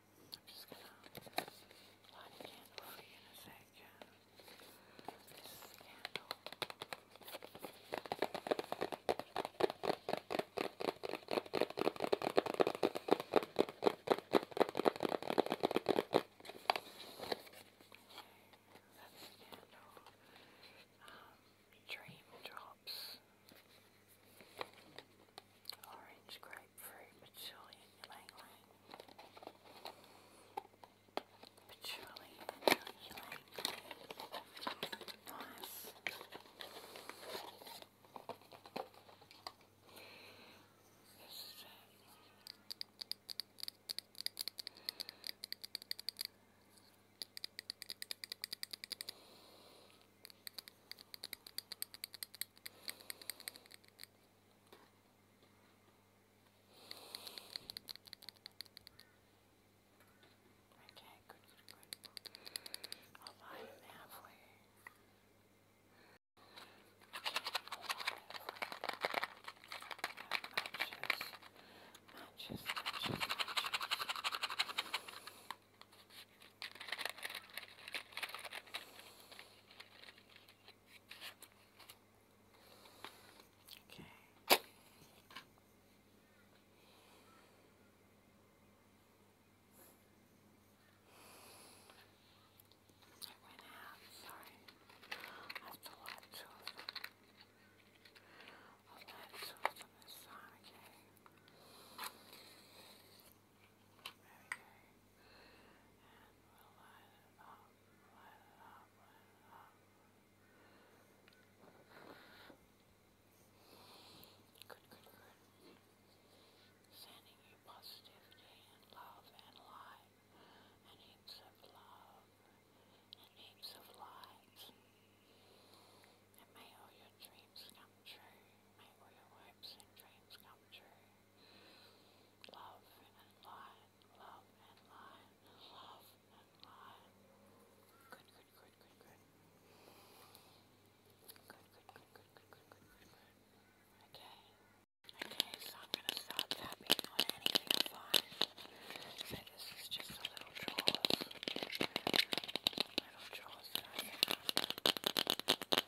just gonna light a candle for you in a second. This is the candle. Okay, that's the candle. Um, Dream Drops orange grapefruit, patchouli, ylang ylang, patchouli, ylang ylang, nice. This is it. Okay, good, good, good. I'll line them halfway. Okay, Matches, matches, matches, matches. Okay. I went out, sorry. I have to of them. I'll watch of them this time, okay? we'll light it up, light it up, light it up. Good, good, good. Sending you positivity and love and light and heaps of love and heaps of light. And may all your dreams come true. May all your hopes and dreams come true. Love and line, love and line, love and line. Good, good, good, good, good. Good, good, good, good, good, good, good, good, good. Okay. Okay, so I'm gonna stop tapping on anything of mine. So this is just a little draws. Little draws that I have.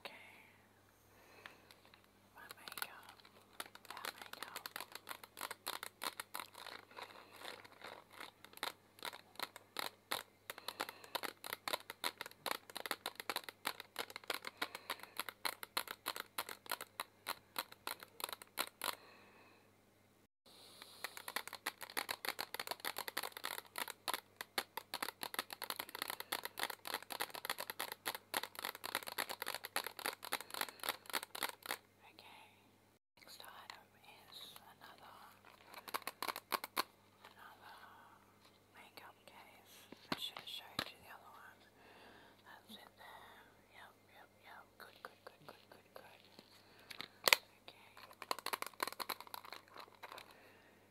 Okay. My makeup. That makeup. Okay. Okay, next item is another, another makeup case. I should have showed you the other one. That's in there. Yep, yep, yep. Good, good, good, good, good, good. Okay.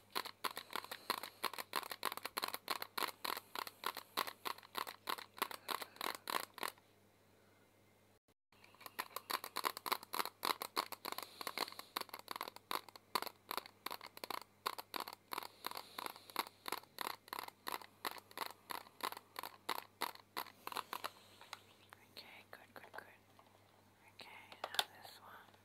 Okay, good, good, good. Okay, now this one.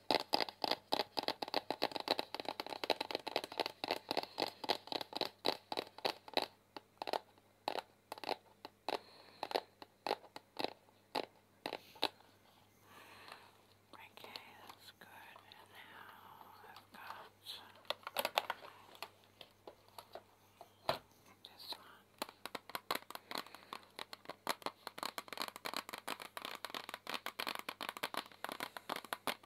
Okay, that's good. And now I've got this one. Okay.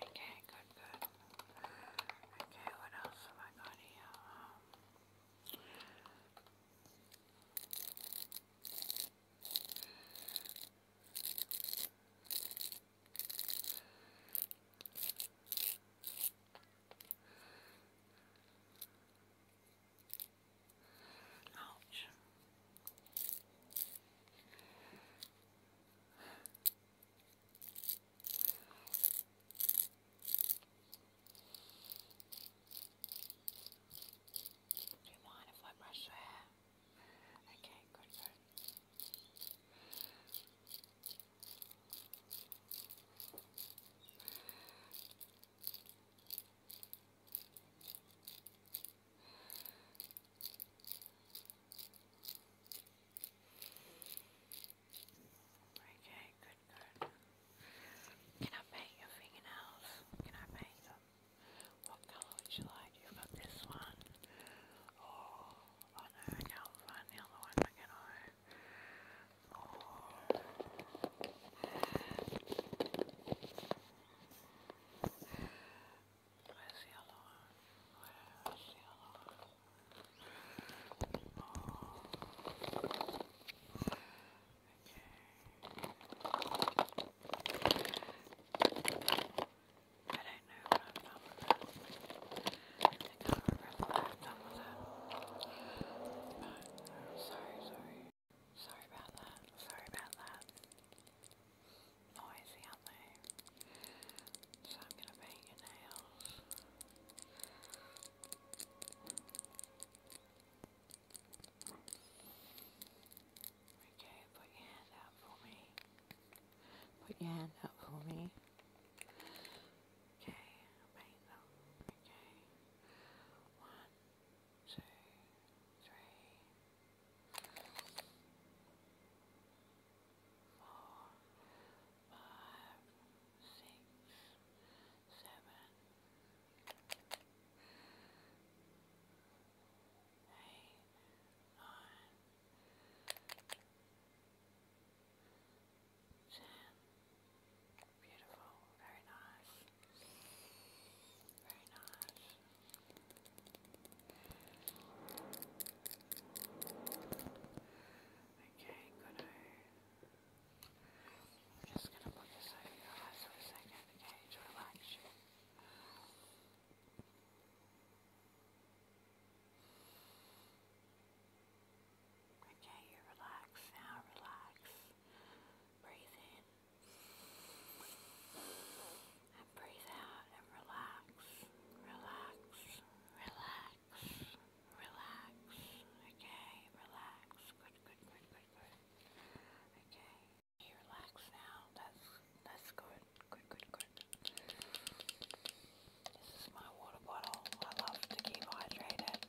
Okay, good, good. Okay, what else have I got here? Um, ouch. Do you mind if I brush your hair? Okay, good, Okay, good, good. Can I paint your fingernails? Can I paint them? What colour would you like? You've got this one. Oh, oh no, I can't find the other one, can I? Oh. Where's the other one? Where's the other one? I don't know what I've done with that. I can't remember I've done sorry, sorry. Sorry about that. Sorry about that. Noisy, aren't they? So I'm going to paint your nails. Okay, put your hand out for me. Put your hand out for me. Okay, paint them. Okay. One, two, three, four, five, five, six, seven, eight, nine, ten. Beautiful, very nice, very nice. Okay, good. I'm just gonna put this over for a second, okay, to relax Okay, you relax now, relax. Breathe in and breathe out and relax, relax, relax, relax, okay, relax, good, good, good, good, good, okay, relax now, that's, that's good, good, good, good, this is my water bottle, I love to keep hydrated,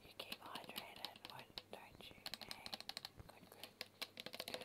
you keep hydrated, don't you, hey, good, good,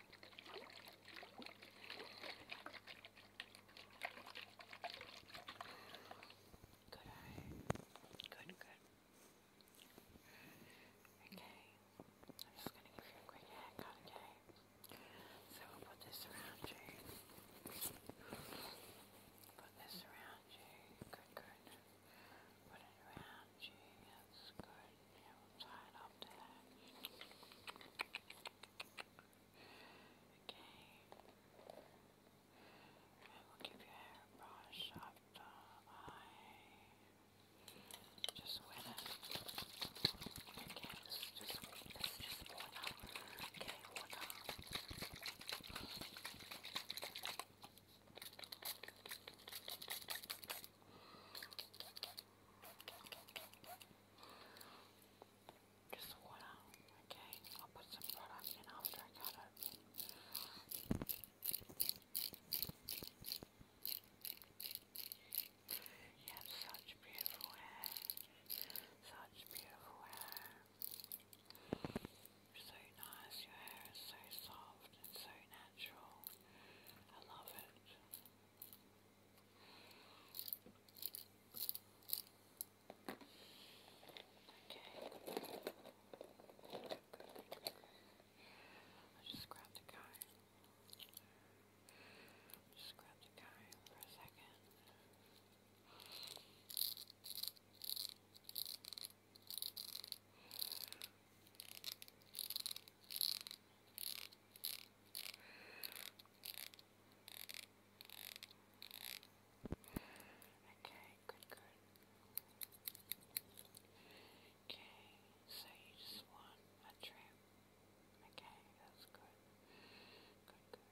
Good eye. Good, good. Okay. I'm just gonna give you a quick haircut, okay? So we'll put this around you. Put this around you. Good, good. Put it around you. That's good. Yeah, we'll tie it up there. Good, and we'll give your hairbrush up the eye. Just wet it. Okay, this is just, this is just water. Okay, water. Okay, just water. Okay, I'll put some product in after I cut it. You have such beautiful hair. Such beautiful hair. So nice, your hair is so soft and so natural. I love it. I just grabbed a guy. Just grabbed a guy for a second. Okay, good, good. Okay, so you just want a trim. Okay, that's good. Good, good.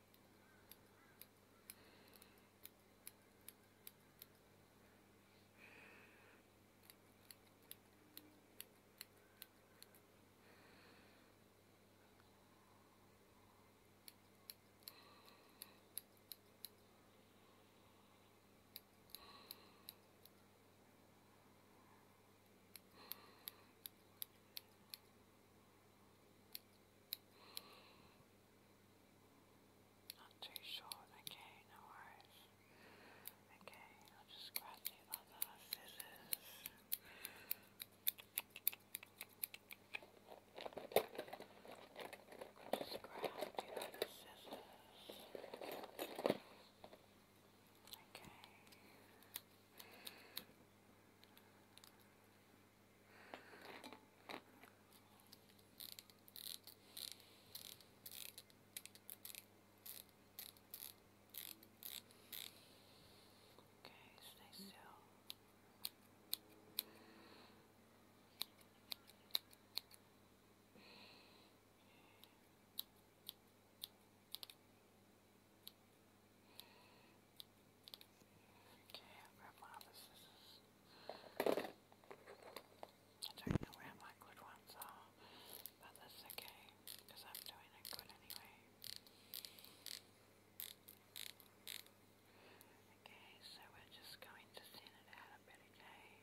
Not too short, okay, no worries. Okay, I'll just grab the other scissors. I'll just grab the other scissors. Okay. Okay, stay still. Okay, grab my scissors. I don't my good ones are, but that's okay because i Okay, so we're just going to thin it out a bit, okay?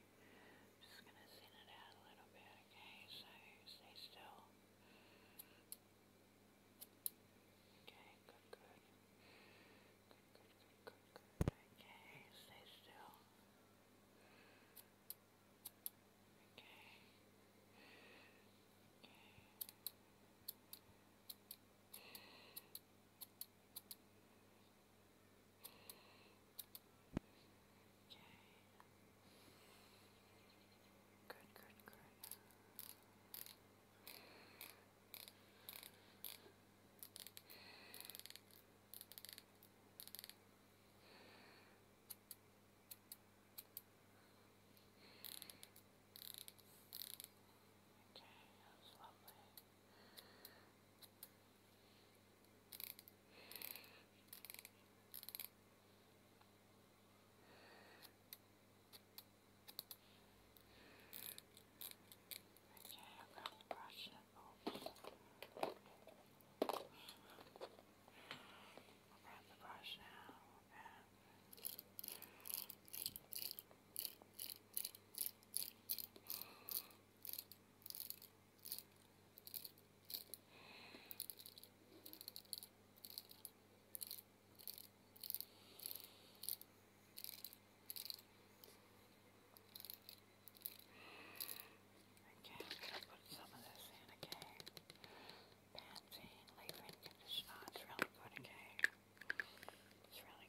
just going to thin it out a little bit, okay? So stay still. Okay, good, good. Good, good, good, good, Okay, stay still. Good, good, good. Okay. Okay, that was lovely. Okay, I'm going to brush it off grab the brush now and Again, I'm going to put some of this in again. Pantene leave-in conditioner. It's really good again. It's really good. really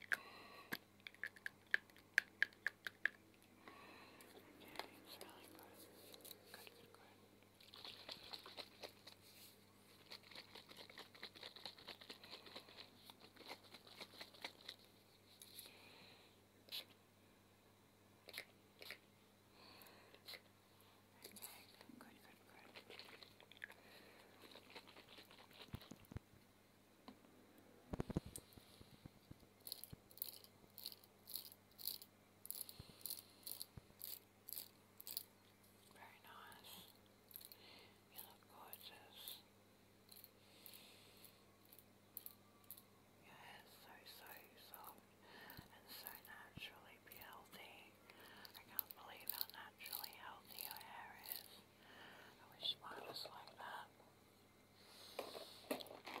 good. Good, Very nice. You look gorgeous. Yeah, it's so, so soft and so naturally healthy. I can't believe how naturally healthy your hair is. I wish mine was like that. Okay.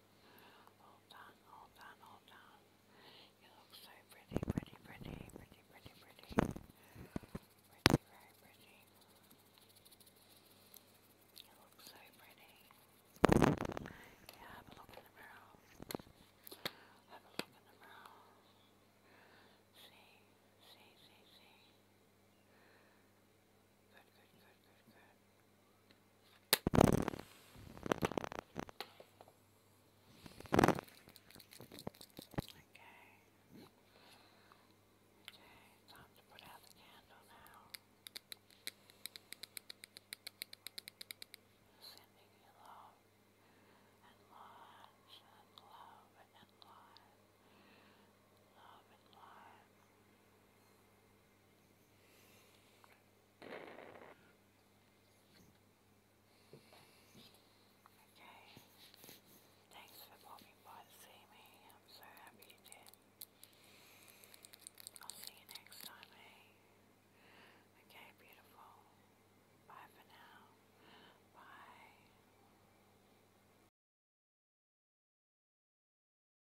Hold on, hold on, hold on. You look so pretty, pretty, pretty, pretty, pretty, pretty. Pretty, very pretty. You look so pretty. Yeah, have a look in the mirror. Have a look in the mirror. See, see, see, see good, good, good, good. Okay. Okay, time to put out the candle now. Sending you love and love and love and love. Love and life. Okay. Thanks for popping by to see me. I'm so happy you did. I'll see you next time, eh? Okay, beautiful. Bye for now. Bye.